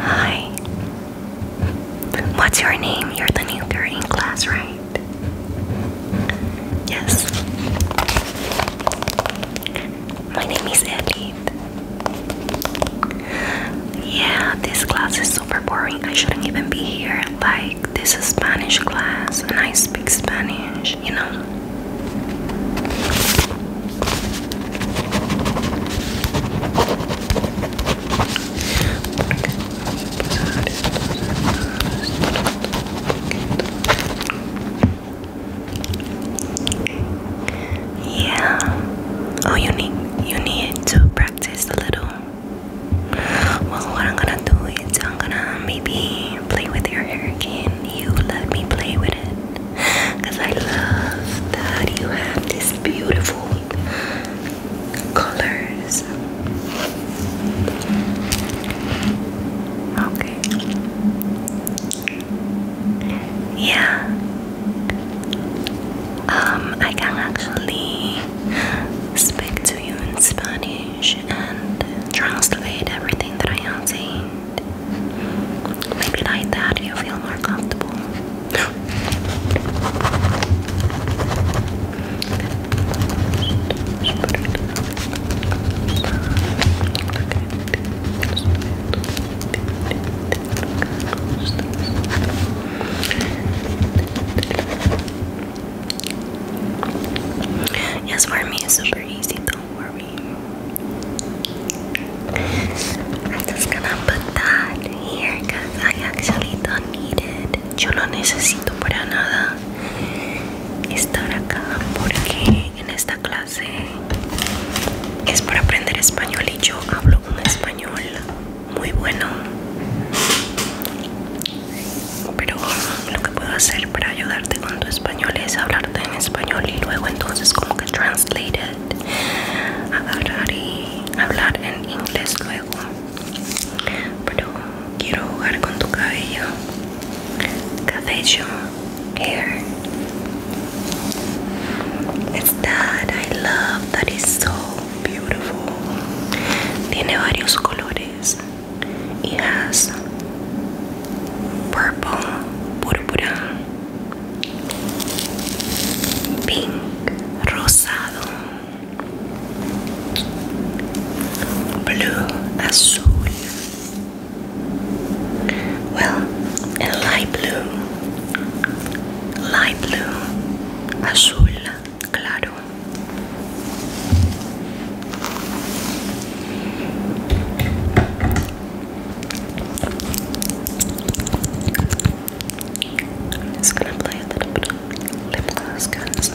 Hi. What's your name? You're the new girl in class, right? Yes. My name is Edith. Yeah, this class is super boring. I shouldn't even be here. Like, this is Spanish class and I speak Spanish, you know? Yeah. Oh, you need you need to practice a little. Well, what I'm gonna do is I'm gonna maybe play with your hair again. You let me play with it because I love that you have these beautiful colors. Okay. Yeah. Um, I can actually speak to you in Spanish and translate everything that I am saying. Maybe like that you feel more comfortable. Yes, for me it's super easy, don't worry. I'm just gonna put here I actually don't need it. Yo no necesito para nada estar acá porque en esta clase es para aprender español y yo hablo un español muy bueno. Pero lo que puedo hacer para ayudarte con tu español es hablarte en español y luego entonces como que translate agarrar y hablar en inglés luego pero quiero jugar con tu cabello cabello hair it's that I love that is so beautiful tiene varios colores y has purple púrpura pink rosado blue azul well el light blue light blue azul claro I'm just gonna play a little bit of lip gloss because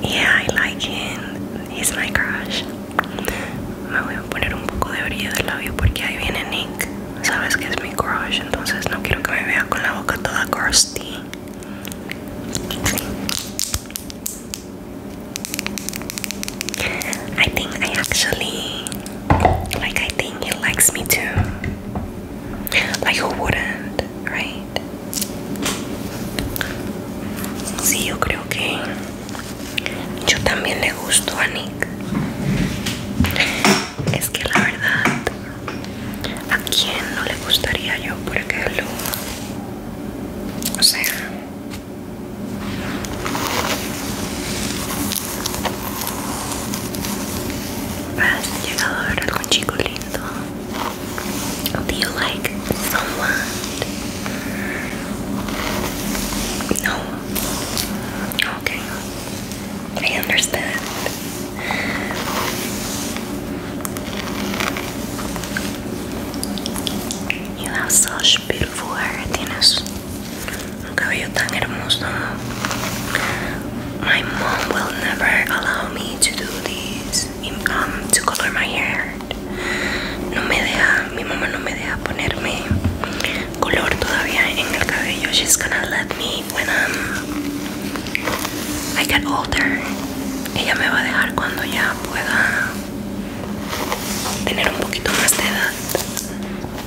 yeah, I like him. He's my crush. Me voy a poner un poco de brillo del labio porque ahí viene Nick. Sabes que es mi crush, entonces no quiero que me vea con la boca toda crusty. I think I actually Like I think he likes me too. Like who wouldn't, right? Sí, yo creo que yo también le gusto a Nick. Es que la verdad, ¿a quién no le gustaría yo, por lo O sea, Has you like someone? No. Okay. I understand. You have such beautiful hair, Tienes Un cabello tan hermoso. My mom will never allow me to do this. Um, to color my hair. No me deja, mi mamá no me deja ponerme color todavía en el cabello. She's gonna let me when I'm, um, I get older. Ella me va a dejar cuando ya pueda tener un poquito más de edad.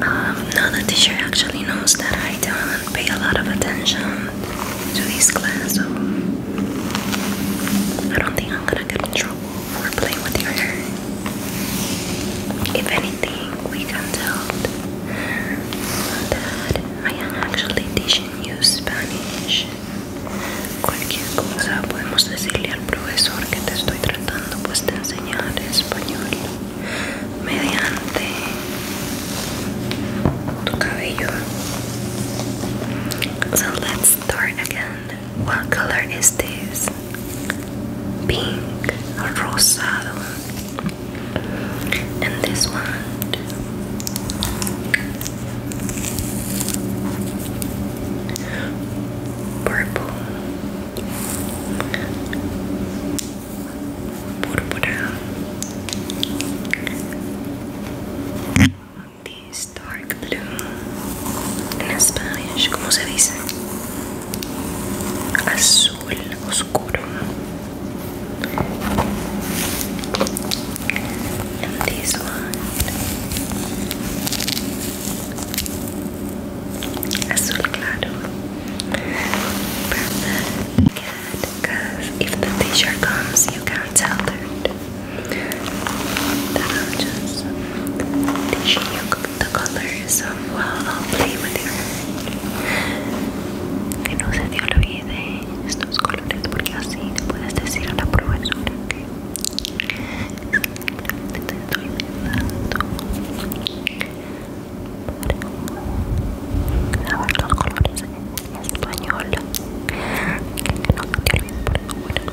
Um, now teacher actually knows that I don't pay a lot of attention to this class, so I don't think if anything, we can tell that I am actually teaching you Spanish. Cualquier cosa podemos decirle al profesor que te estoy tratando pues enseñar español mediante tu cabello. So let's start again what color is this? Pink, rosado. And this one. Purple. Purpura this dark blue in Spanish, ¿cómo se dice? Azul oscuro. And this one, azul claro. Perfect. Good, because if the teacher comes, you can tell that. Que no se te olvide estos colores porque así le puedes decir a la profesora que te estoy dando para saber los colores en español. Que no se te olvide por favor.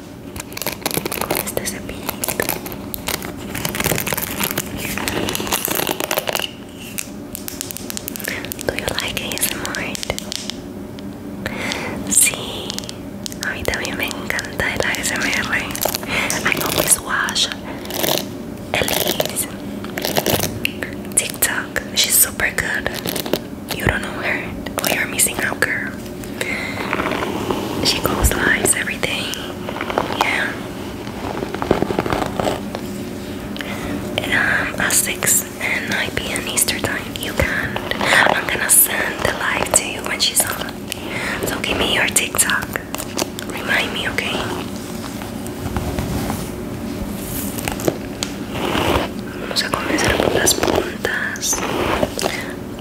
con este cepillito Do you like ASMR? Sí, a mí también me encanta el ASMR I always watch Elise TikTok, she's super good you don't know her, or oh, you're missing out girl she goes lives everything. Yeah. Um, 6 and 9 p.m. Eastern time. You I'm gonna send the live to you when she's on. So give me your TikTok. Remind me, okay? Vamos a comenzar por las puntas.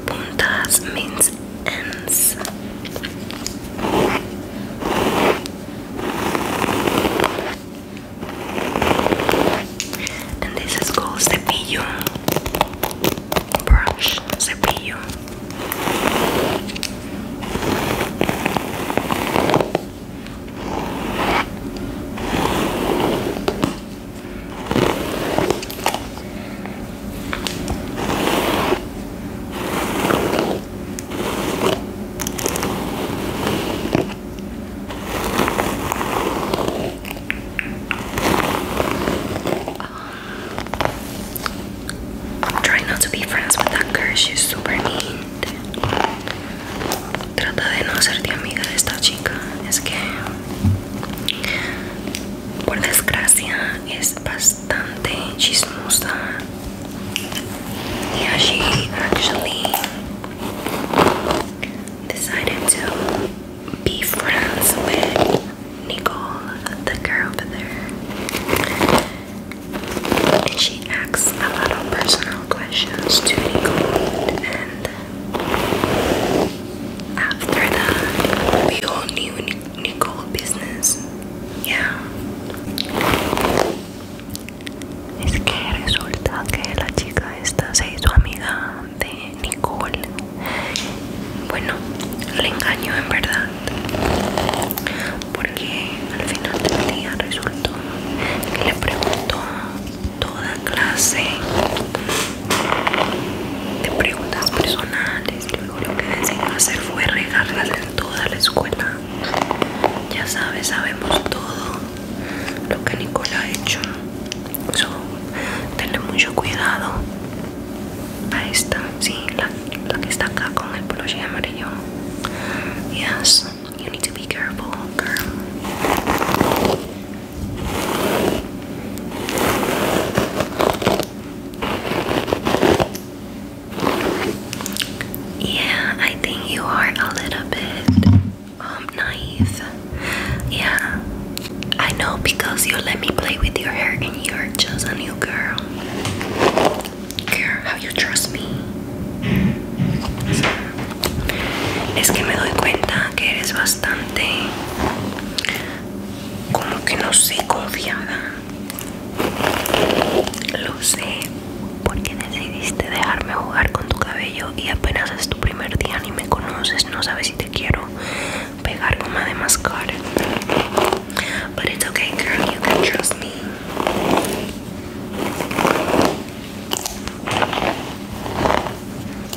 Puntas means and this is called cepillo brush, cepillo. I'm trying not to be friends with that girl, she's super mean. Trata de no hacerte amiga de esta chica, es que por desgracia es bastante chismosa yeah she actually decided to be friends with Nicole the girl over there and she asks a lot of personal questions to Nicole and after that we all knew Nicole Business. ya. Es que resulta que la chica esta se hizo amiga de Nicole. Bueno, le engaño en verdad. Porque al final del día resultó que le preguntó toda clase de preguntas personales luego lo que a hacer fue regarlas en toda la escuela. Ya sabes, sabemos todo lo que Nicola ha hecho. So, tener mucho cuidado. A esta, sí, la, que está acá con el poloche amarillo. Yes, you need to be careful, girl. Yeah, I think you are a little bit um, naive. Yeah. I know because you let me play with your hair and you're just a new girl. Girl, how you trust me? Es que me doy cuenta que eres bastante como que no sé confiada lo sé porque decidiste dejarme jugar con tu cabello y apenas es tu primer día ni me conoces no sabes si te quiero pegar goma de mascar but it's okay girl you can trust me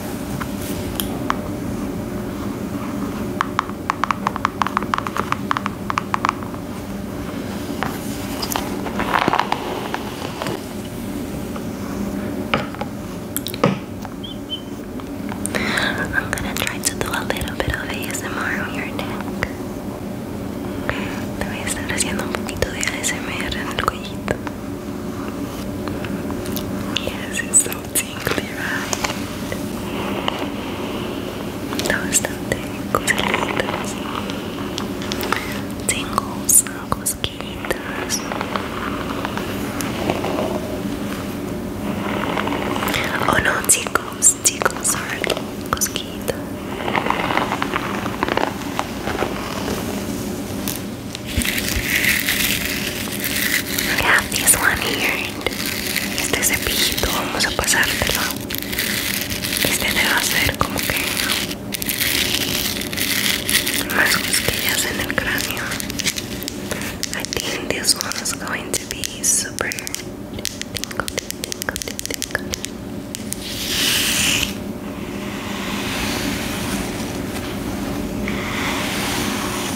I'm gonna try to do a little bit of ASMR on your neck. Te haciendo un poquito de ASMR en el cuellito. Yes, it's so tingly, right? Those também, coisas lindas. Tingles, cosquilhas. Oh no, tingles, tingles are cosquilhas have this one here. Este cepillito vamos a pasártelo. Este te va como que más cosquillas en el cráneo. I think this one is going to be super tingle,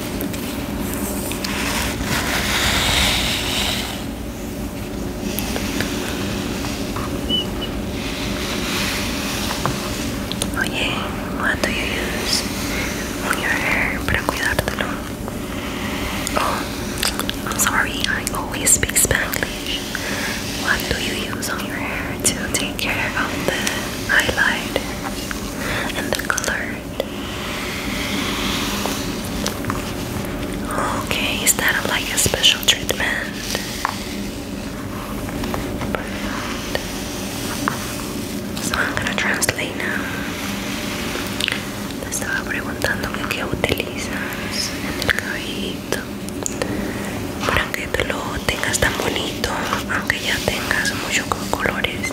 Oye, what do you use on your hair para cuidártelo? Oh, I'm sorry, I always speak Spanish. What do you use on your hair to take care of the highlight and the color? Okay, is that like a special treatment? Perfecto. So I'm gonna translate now. Te estaba preguntando que qué utilizas en el cabello para que te lo tengas tan bonito, aunque ya tengas muchos colores.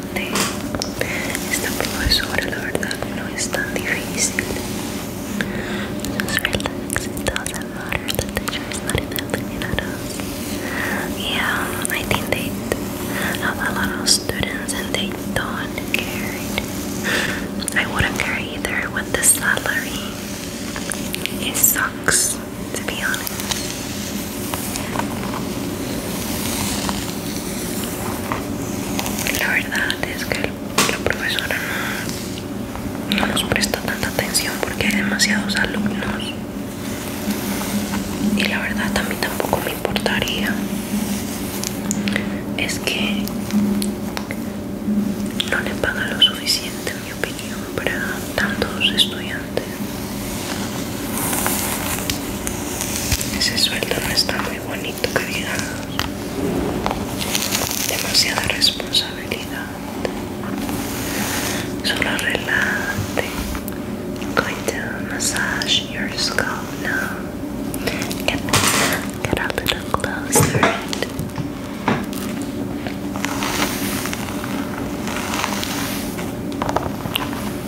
bastante esta profesora, la verdad no es tan difícil. Just relax, it doesn't matter, the teacher is not even at I think they have a lot of students and they don't care. I wouldn't care either with the salary. It sucks. to La verdad es que la profesora no, no nos presta tanta atención porque hay demasiados alumnos. Y la verdad a mí tampoco me importaría. Es que no le paga lo suficiente, en mi opinión, para tantos estudiantes. Ese sueldo no está muy bonito, que Demasiada responsabilidad. Solo relate. Voy a to massage your scalp now. Get, get up a little closer.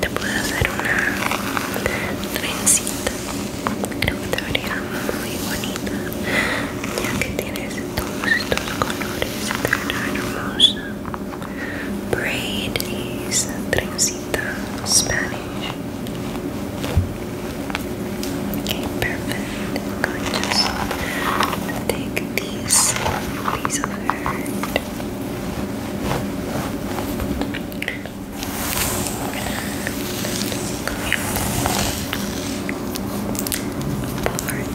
Te puedo hacer una trencita. Creo que te vería muy bonita, ya que tienes todos estos colores tan hermosa Braid is trencita, Spanish. Okay, perfect. I'm going to just take this piece of hair. Part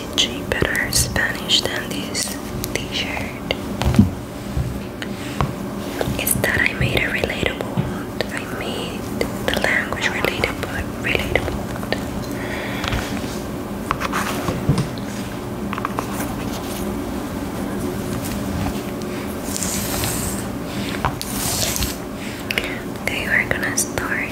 teaching better Spanish than this t-shirt is that I made it relatable. I made the language relatable relatable. we're gonna start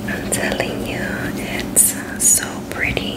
I'm telling you, it's so pretty.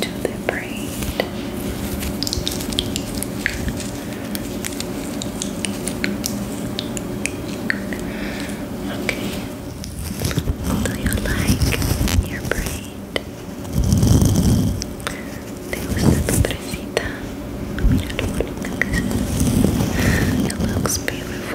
to the braid. Okay. Do you like your braid? ¿Te gusta tu presita? Mira lo bonita que se ve. It looks beautiful.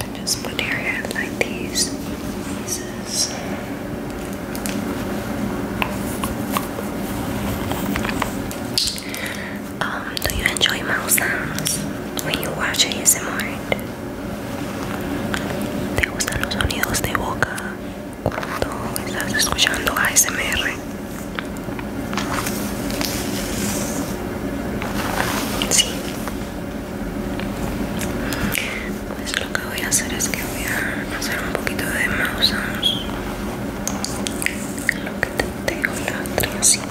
And just put your hair like these um, do you enjoy mouth sounds when you watch ASMR? ¿Te gustan los sonidos de boca cuando estás escuchando ASMR? Sí. Pues lo que voy a hacer es que voy a hacer un poquito de mouse lo que te tengo la trancita.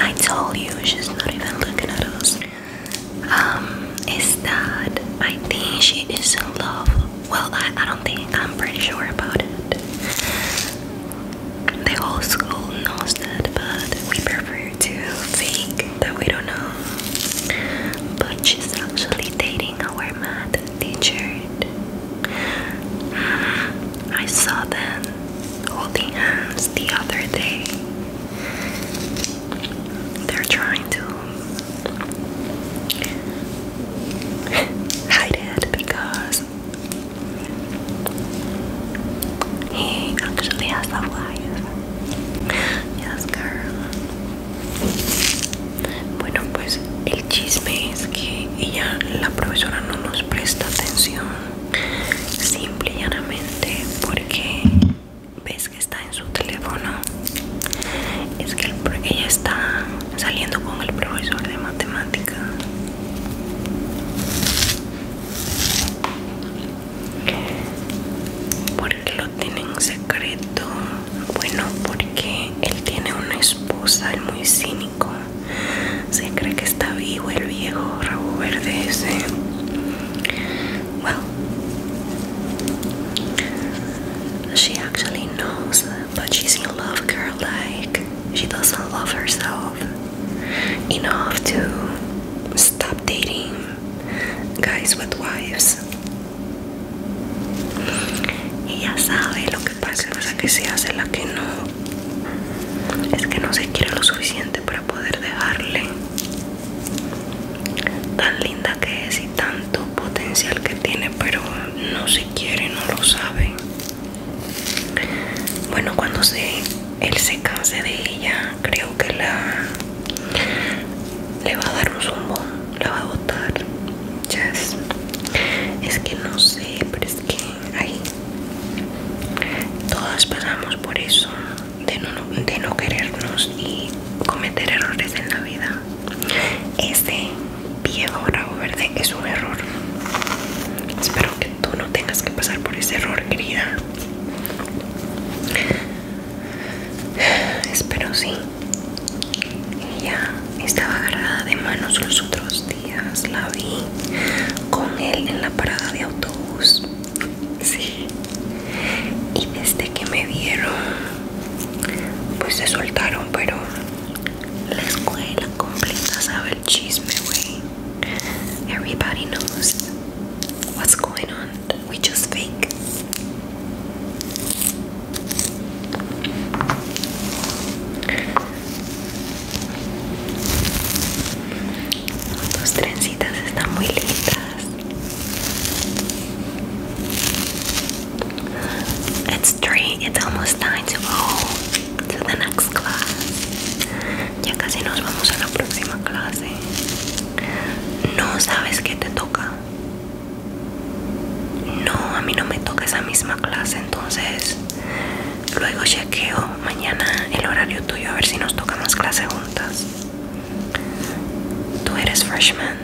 I told you she's not even looking at us. Um, is that I think she is in love. Well, I, I don't think I'm pretty sure about it. The whole school knows that, but we prefer to think that we don't know. But she's actually dating our math teacher. I saw them holding hands the other day. They're trying to hide it because y Yes, girl. Bueno, pues el chisme es que ella, la profesora, no nos presta atención. Simple y llanamente porque ves que está en su teléfono. Es que ella está saliendo con el profesor de matemática. ¿Por qué lo tiene secreto bueno porque él tiene una esposa muy cínico se cree que está vivo el viejo rabo verde ese well she actually knows but she's in love girl like she doesn't love herself enough to stop dating guys with wives. Ella sabe lo que pasa, que se hace la que no. Es que no se quiere lo suficiente para poder dejarle. Tan linda que es y tanto potencial que tiene, pero no se quiere, no lo sabe. Bueno, cuando se, él se canse de ella, creo que la le va a dar un zumbón, la va a botar. Yes. Es que no sé, pero es que ahí todas pasamos por eso de no, no querernos y cometer errores en la vida. Este viejo rabo verde es un error. Espero que tú no tengas que pasar por ese error, querida. Espero sí. Ella estaba agarrada de manos los otros días. La vi con él en la parada de autobús. Sí. Y desde que me vieron, pues se soltaron, pero la escuela completa sabe el chisme, güey. Everybody knows what's going on. We just fake. Tus trencitas están muy lindas. It's three. It's almost time to go to the next class. Ya casi nos vamos a la próxima clase. No sabes qué te toca. No, a mí no me toca esa misma clase, entonces luego chequeo mañana el horario tuyo a ver si nos toca más clase juntas. Tú eres freshman.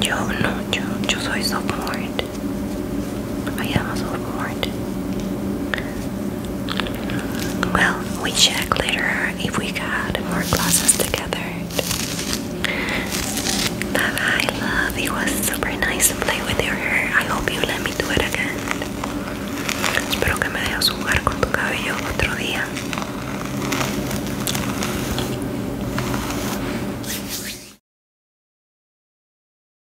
Yo no, yo, yo soy sophomore. I am also warned. Well, we check later if we got more classes together. Bye bye, love. It was super nice to play with your hair. I hope you let me do it again. Espero que me dejes jugar con tu cabello otro día.